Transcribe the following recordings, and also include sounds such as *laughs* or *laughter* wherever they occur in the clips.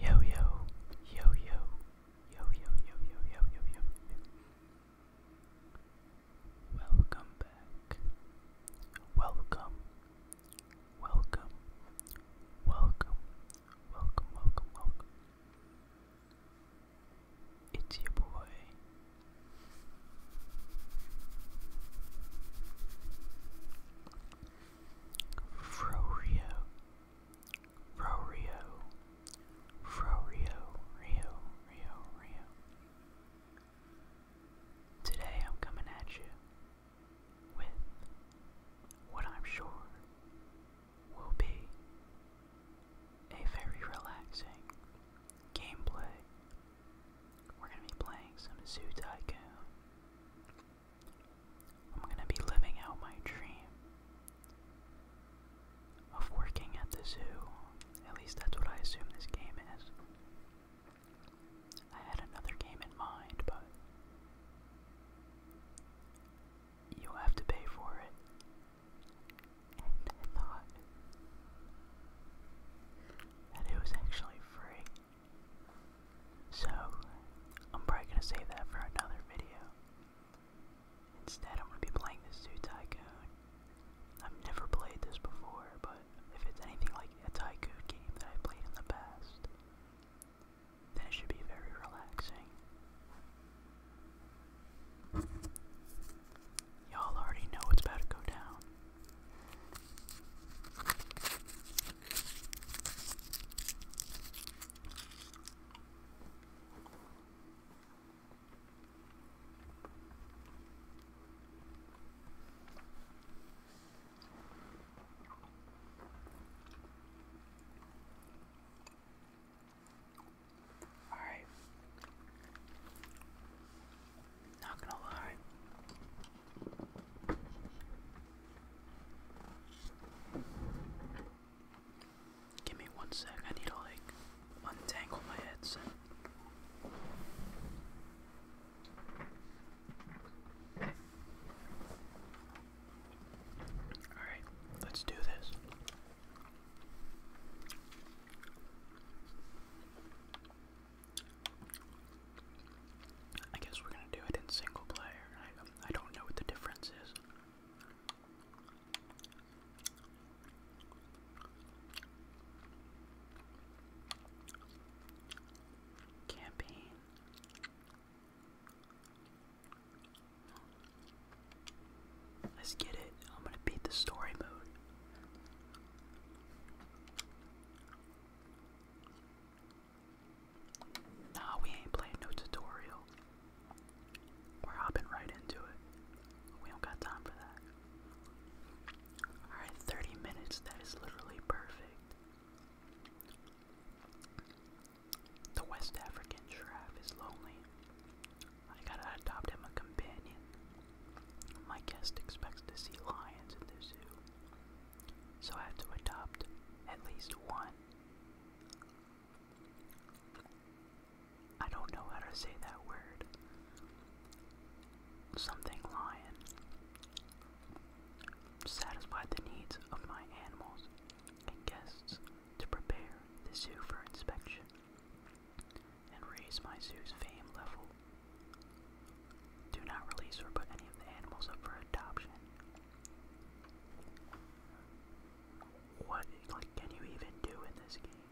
Yo yo, yo yo, yo yo, yo yo, yo Welcome back. Welcome. Welcome. Welcome. Welcome, welcome, welcome. It's your boy, Frorio, Frorio, Frorio, Rio, Rio, Rio. Today I'm coming at you with what I'm sure will be a very relaxing gameplay we're gonna be playing some Zoo Tycoon. I'm gonna be living out my dream of working at the zoo. At least that's what I assume this game is. I had another game in mind, but you'll have to pay for it. *laughs* And it was actually free. So, I'm probably gonna save that for another video. Instead, I'm gonna be playing this Zoo Tycoon. I've never played this before, but if it's anything like a Tycoon game that I played in the past, then it should be very relaxing. Y'all already know what's about to go down. All right. Not gonna lie. Give me one sec, I need to like untangle my headset. Alright, let's do this. I guess we're gonna do it in single player. I, don't know what the difference is. Campaign. Let's get it. I'm gonna beat the story mode. Nah, we ain't playing no tutorial. We're hopping right into it. We don't got time for that. Alright, 30 minutes, that is literally perfect. The West African giraffe is lonely. I gotta adopt him a companion. My guest expects to see lions in the zoo, so I had to adopt at least one. I don't know how to say that word. Something lion. Satisfy the needs of my animals and guests to prepare the zoo for inspection and raise my zoo's fame level. Do not release or put any of the animals up for adoption. What can you even do in this game?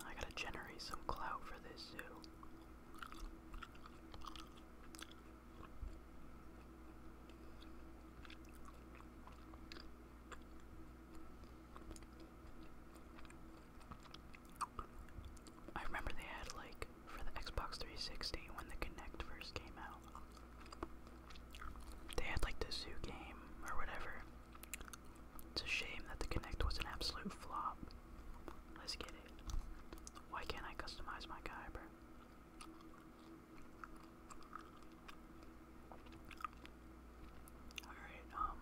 I gotta generate some clout for this zoo. I remember they had like for the Xbox 360 when the Kinect first came out. They had like the zoo game or whatever. It's a shame that the connect was an absolute flop. Let's get it. Why can't I customize my Kyber? Alright, um.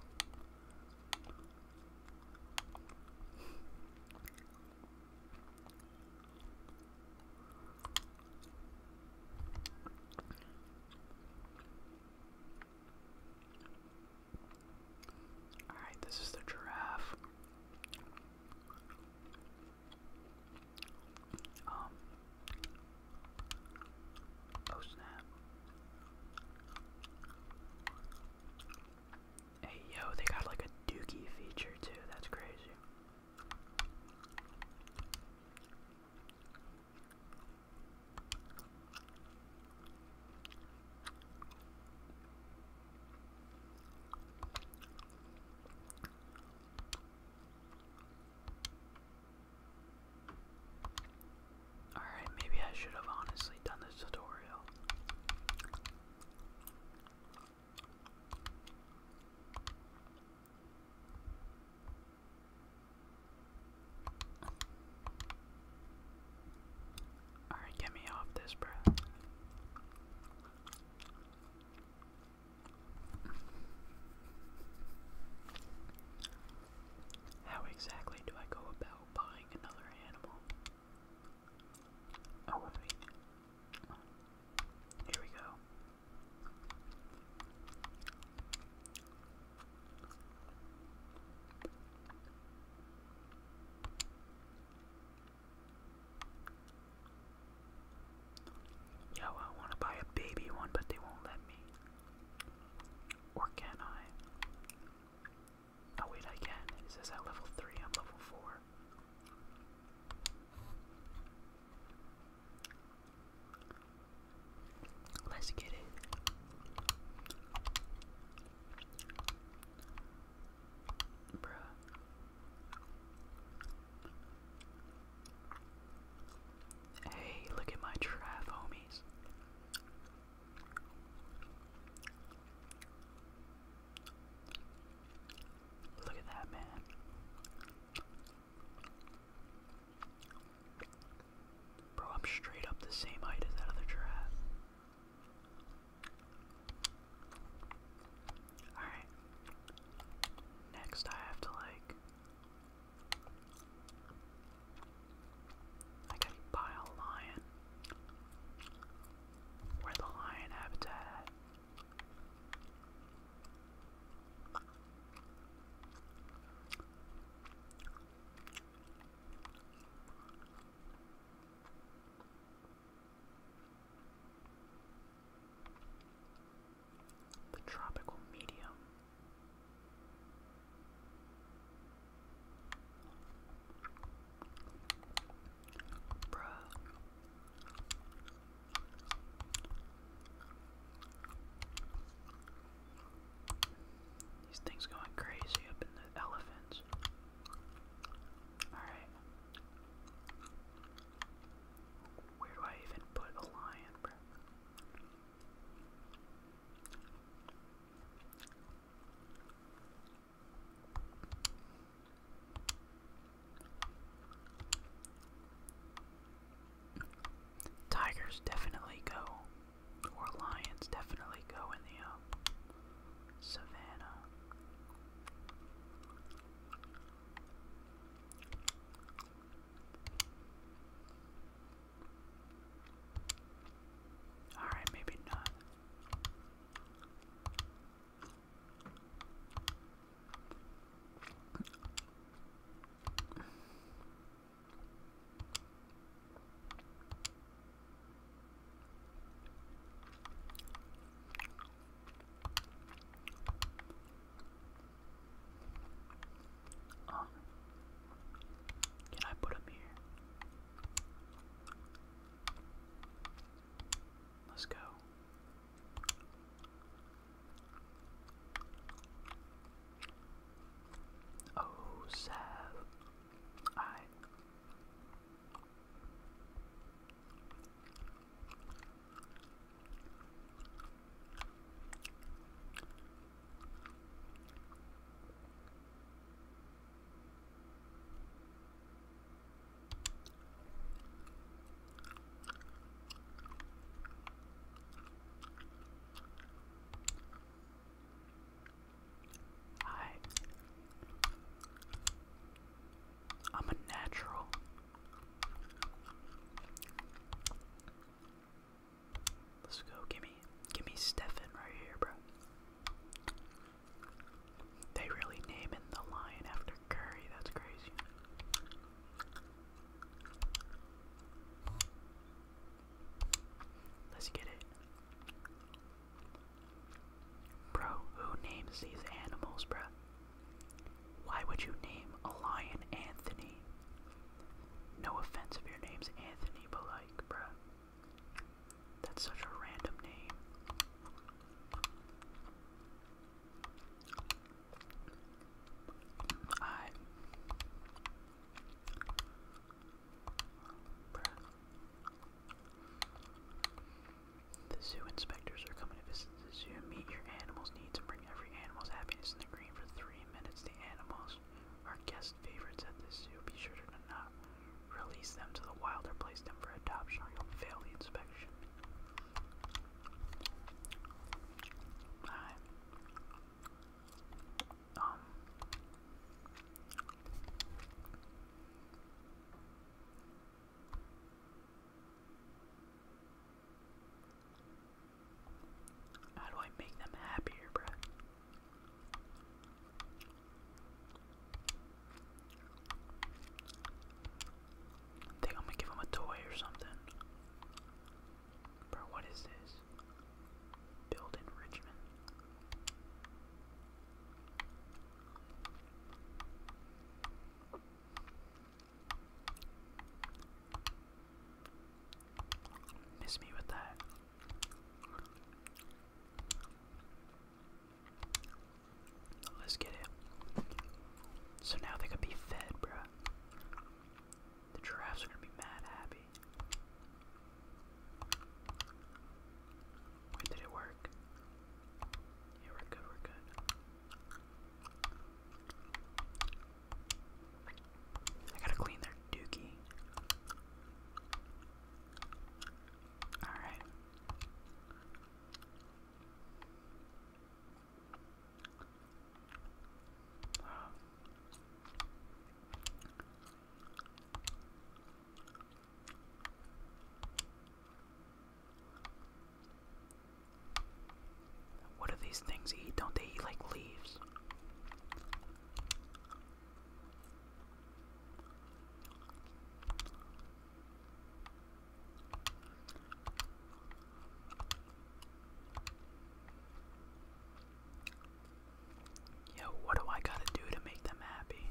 Alright, this is the giraffe. Um, oh snap. Hey yo, they got like a dookie feature too, that's crazy. Alright, maybe I should have honestly done this tutorial. Alright, get me off this, bro. How exactly do I go about buying another animal? Oh, Here we go. Yo, I want to buy a baby one, but they won't let me. Or can I? Oh, wait, I can. It says at level 3, I'm level 4. Let's get it. Bruh. Hey, look at my trap, homies. Look at that, man. Bro, I'm straight up the same height as that other giraffe. Alright. Next, I have to like. I gotta buy a lion. Where the lion habitat the tropical medium. Bruh. These things going crazy up in the elephants. Alright. Where do I even put a lion, bro? Tigers definitely go, or lions definitely go in the uh, um, Alright, maybe not. Um, can I put him here? Let's go. Oh, Sav. Hi. I'm a natural. Let's go. Gimme. Gimme Stefan right here, bro. They really naming the lion after Curry. That's crazy. Let's get it. Bro, who names these animals, bro? Why would you name a lion Anthony? No offense if your name's Anthony, but like, bro. That's such a random name. I the zoo inspectors are coming to visit the zoo. Meet your animals' needs and bring every animal's happiness in the green for three minutes. The animals are guest favorites at the zoo. Be sure to not release them to the wild or place them for adoption or you'll fail the inspection. Alright. Um, how do I make them happier, bruh? think I'm gonna give him a toy or something. Bro, what is this? Build enrichment. Miss me with that. Let's get it. So now they could be fed, bruh. The giraffes are gonna be mad happy. did it work? Yeah, we're good, we're good. I gotta clean their dookie. Alright. What do these things eat? Don't they eat like leaves? Yo, what do I gotta do to make them happy?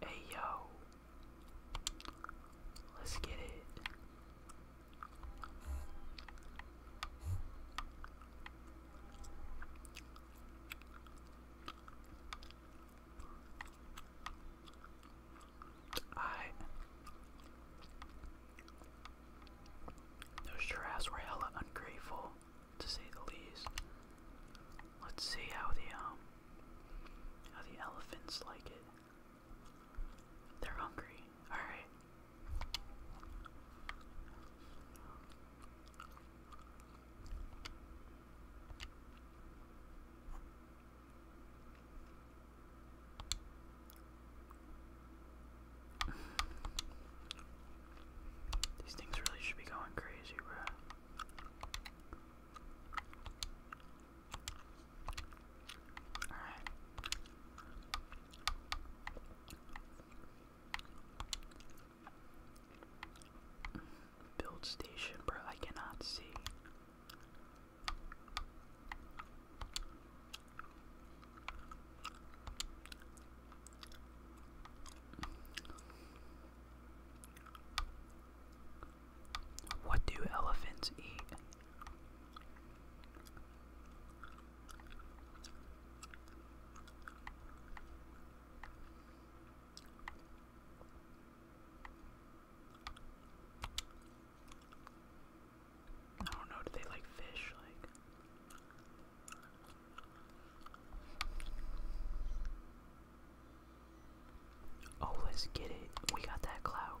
Hey yo, let's get it. I those giraffes were hella ungrateful, to say the least. Let's see how the um, how the elephants like it. They're hungry. Alright. These things really should be going crazy, bro. Build station, bro. I cannot see. What do elephants eat? I don't know, do they like fish? Like. Oh, let's get it. We got that clout.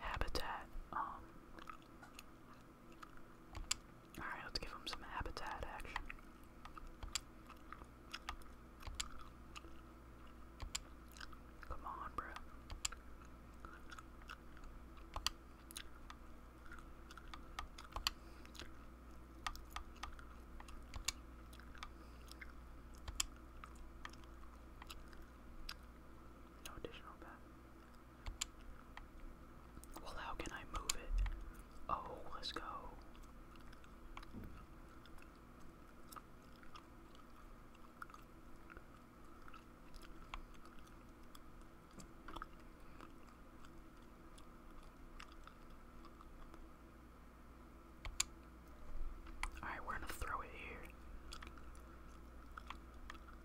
habitat. Um, all right, let's give him some habitat action. Come on, bro. No additional bet. Well, how can I move it? Oh, let's go. Alright, we're gonna throw it here.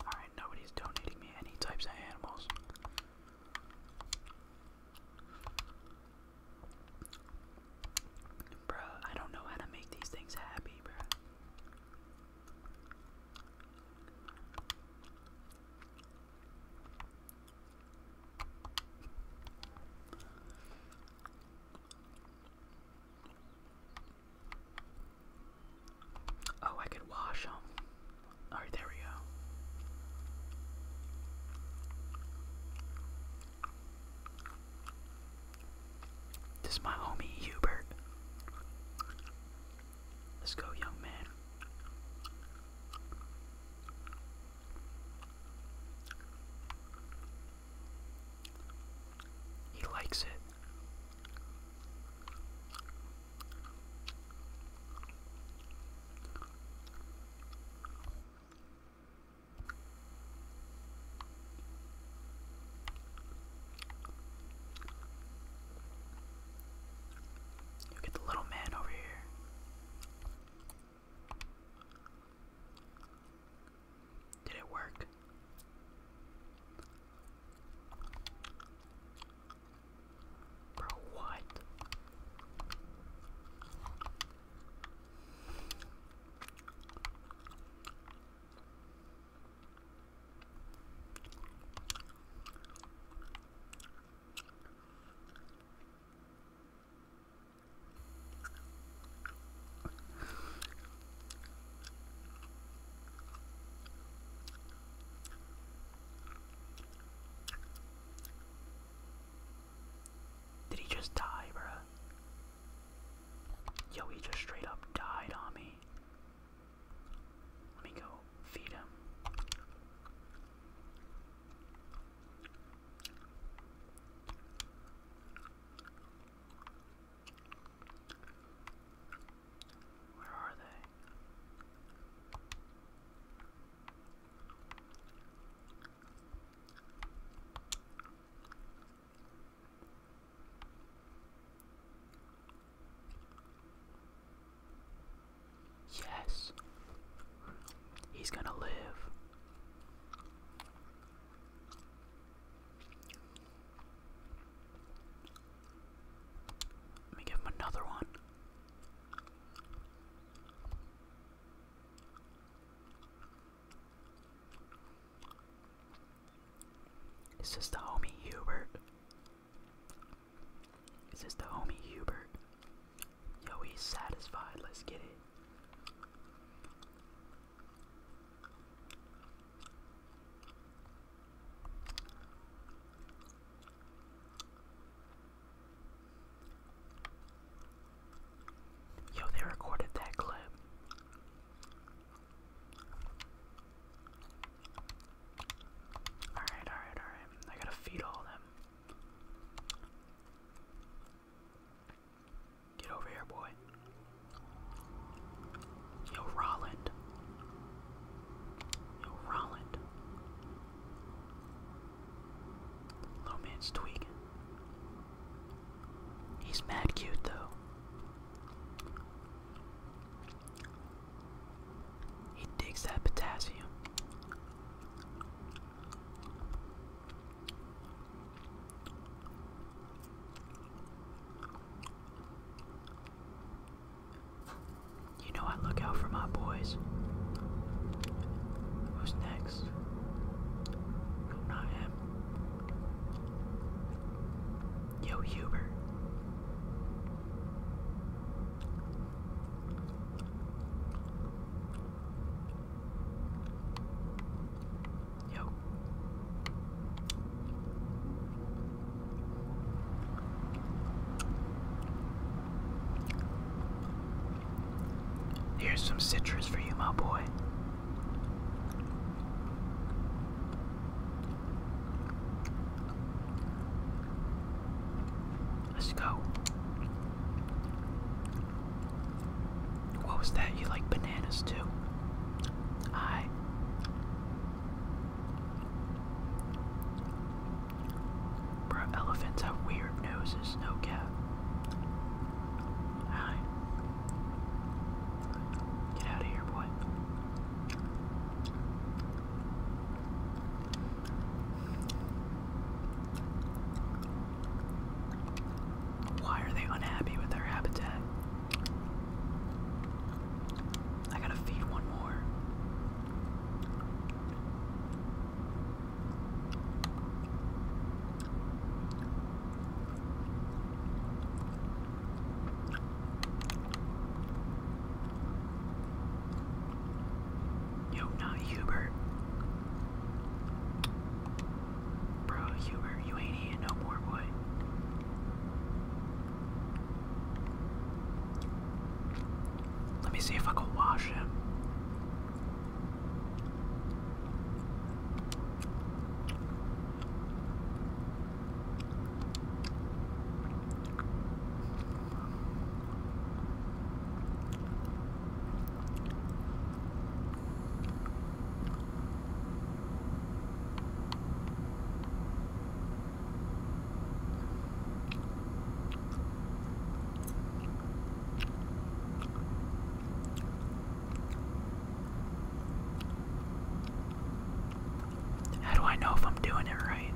Alright, nobody's donating me any types of animals. Bruh, I don't know how to make these things happy, bruh. Oh, I could wash them. Alright, there we go. This is my homie Hubert. Let's go, young man. He likes it get the little man over here. Did it work? Bro, what? Did he just die, bruh? Yo, he just straight up died on me. Let me go feed him. Where are they? Yes. He's gonna live. Let me give him another one. Is this the homie Hubert? Is this the homie Hubert? Yo, he's satisfied. Let's get it. Yo, they recorded that clip. Alright, alright, alright. I gotta feed all them. Get over here, boy. Yo, Roland. Yo, Rolland. Low man's tweaking. He's mad cute though. He digs that potassium. You know I look out for my boys. Who's next? Not him. Yo, Huber. Yo. Here's some citrus for you, my boy. Let's go. What was that? You like bananas too? I. Bro, elephants have weird noses, no cap. Hi. Get out of here, boy. Why are they unhappy with their habitat? I gotta feed one more. Yo, not Hubert. Bro, Hubert, you ain't eating no more, boy. Let me see if I can wash it. How do I know if I'm doing it right?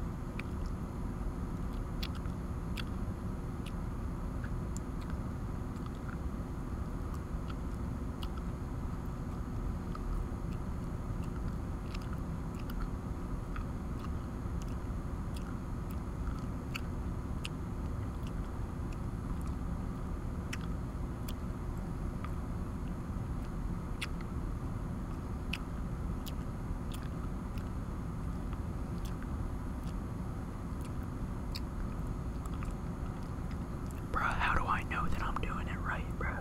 Bruh, how do I know that I'm doing it right, bruh?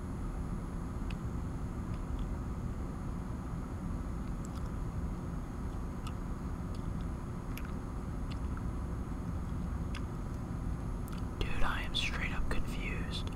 Dude, I am straight up confused.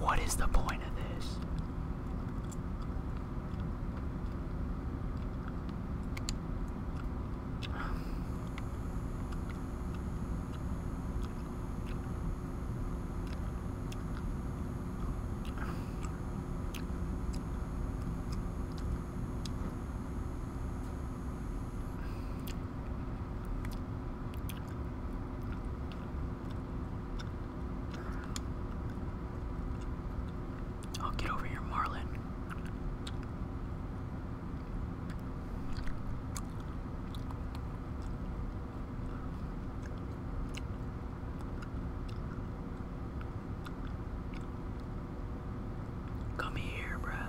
What is the point of this? I'll get over here, Marlin. Come here, bruh.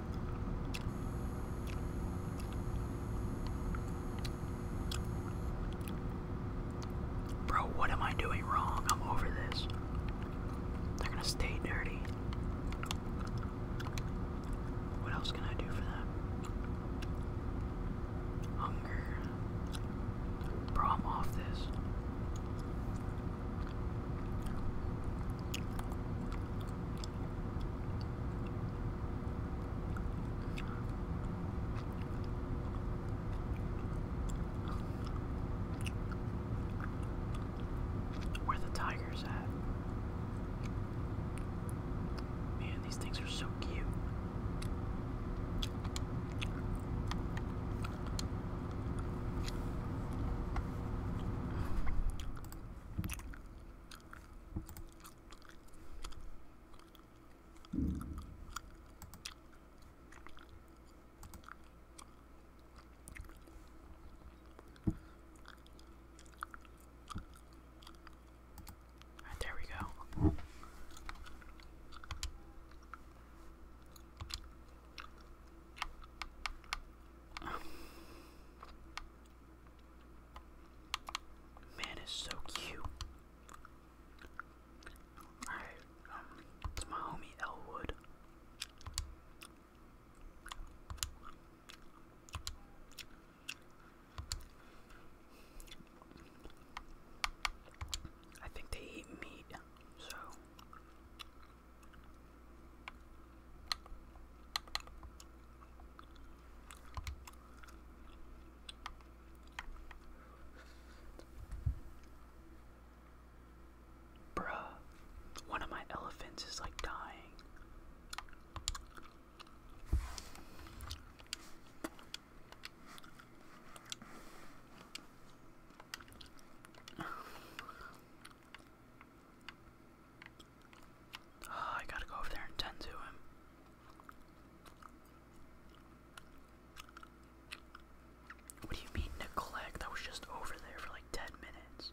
Bro, what am I doing wrong? I'm over this. They're gonna stay dirty. What else can I do for them? Hunger. Bro, I'm off this. Where the tigers at? Man, these things are so cute. Ah, there we go. Man is so cute. Alright, um, it's my homie Elwood. I think they eat meat, so Bruh, one of my elephants is like dying. Ah, I gotta go over there and tend to him. What do you mean neglect? I was just over there for like 10 minutes.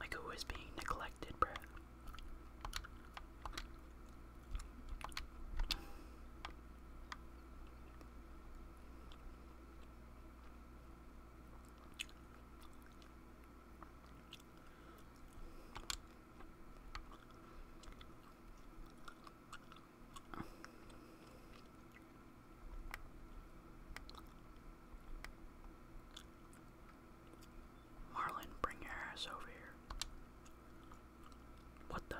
Like who is being neglected, bruh? Marlin, bring your ass over here. What the?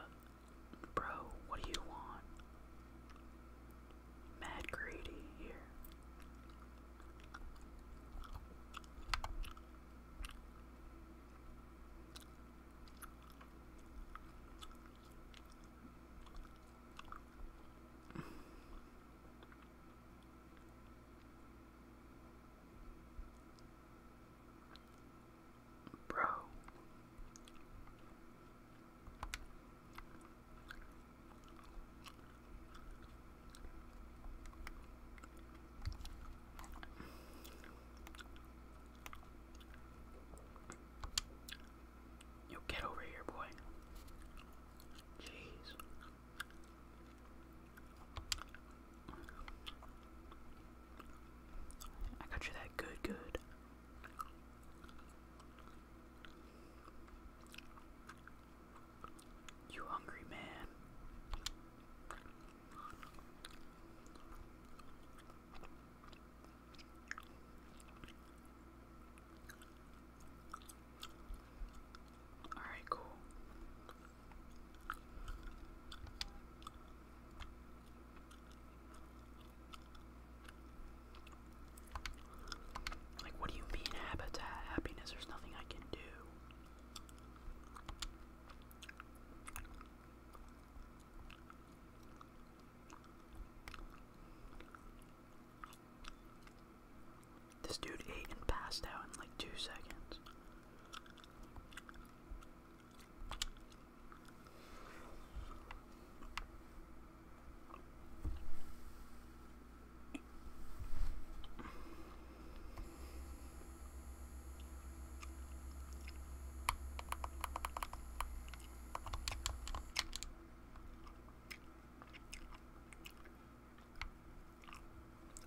Bro, what do you want? Mad greedy here. Bro. You get over here, boy. Jeez. I got you that good, good. You hungry man? All right, cool. Like, what do you mean, habitat happiness? There's nothing I can do. This dude ate and passed out in like two seconds.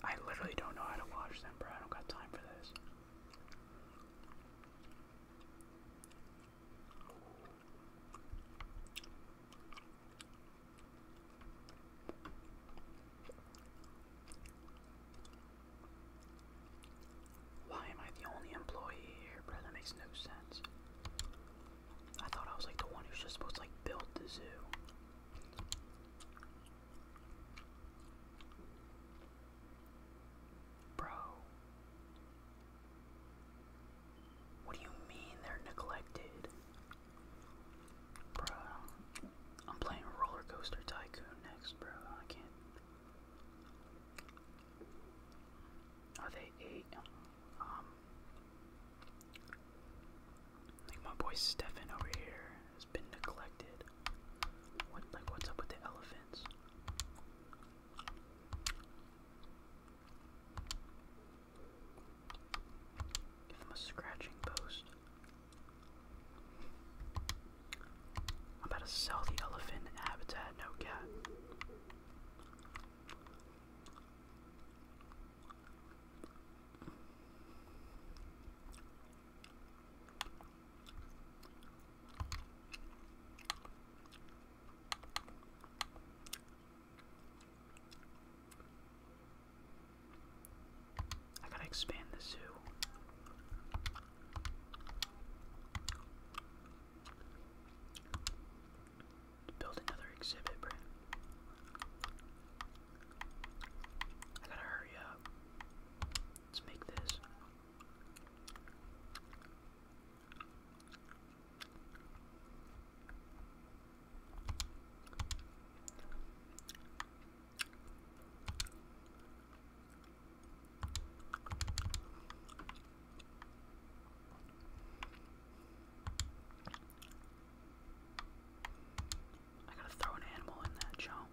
I literally don't know how to watch them, bro. I don't got time for this. Why am I the only employee here, bro? That makes no sense. I thought I was like the one who's just supposed to like build the zoo. Bro. What do you mean they're neglected? Bro. I'm playing Roller Tycoon next, bro. I can't. Are they eight? Um, like my boy Stefan over here has been neglected. What like what's up with the elephants? Give them a scratching post. I'm about to sell the elephant habitat, no cat. I gotta expand the zoo. Build another exhibit, bro. I gotta hurry up. Let's make this. I gotta throw an animal in that chunk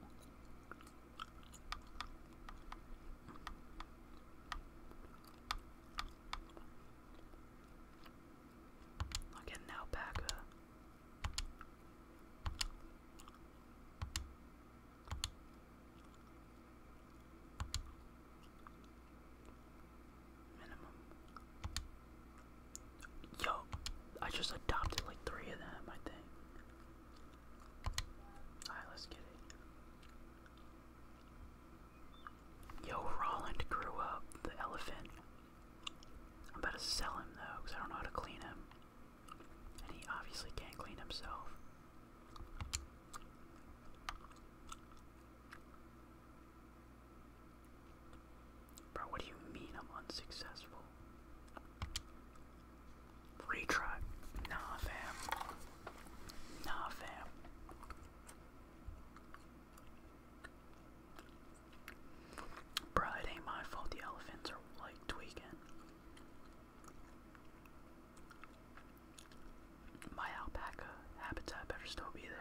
i get an alpaca. Minimum. Yo, I just adopted like three of them, I think. Yo, Roland grew up, the elephant. I'm about to sell him though, because I don't know how to clean him. And he obviously can't clean himself. Bro, what do you mean I'm unsuccessful? Retry. Nah, fam. Nah, fam. Bruh, it ain't my fault the elephants are like tweaking. My alpaca habitat better still be there.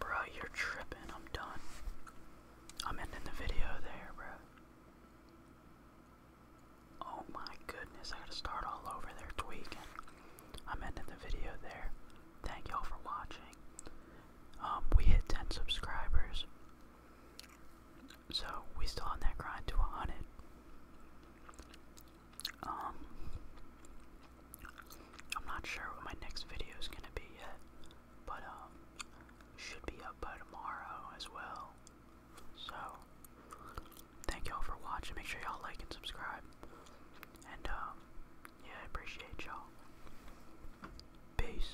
Bro, you're tripping. I'm done. I'm ending the video there, bro. Oh my goodness, I gotta start all over there tweaking. I'm ending the video there. Thank y'all for watching. Um, we hit 10 subscribers. So we still on that grind to a hundred. Um, I'm not sure what my next video is gonna be yet, but um, should be up by tomorrow as well. So, thank y'all for watching. Make sure y'all like and subscribe. And um, yeah, I appreciate y'all. Peace.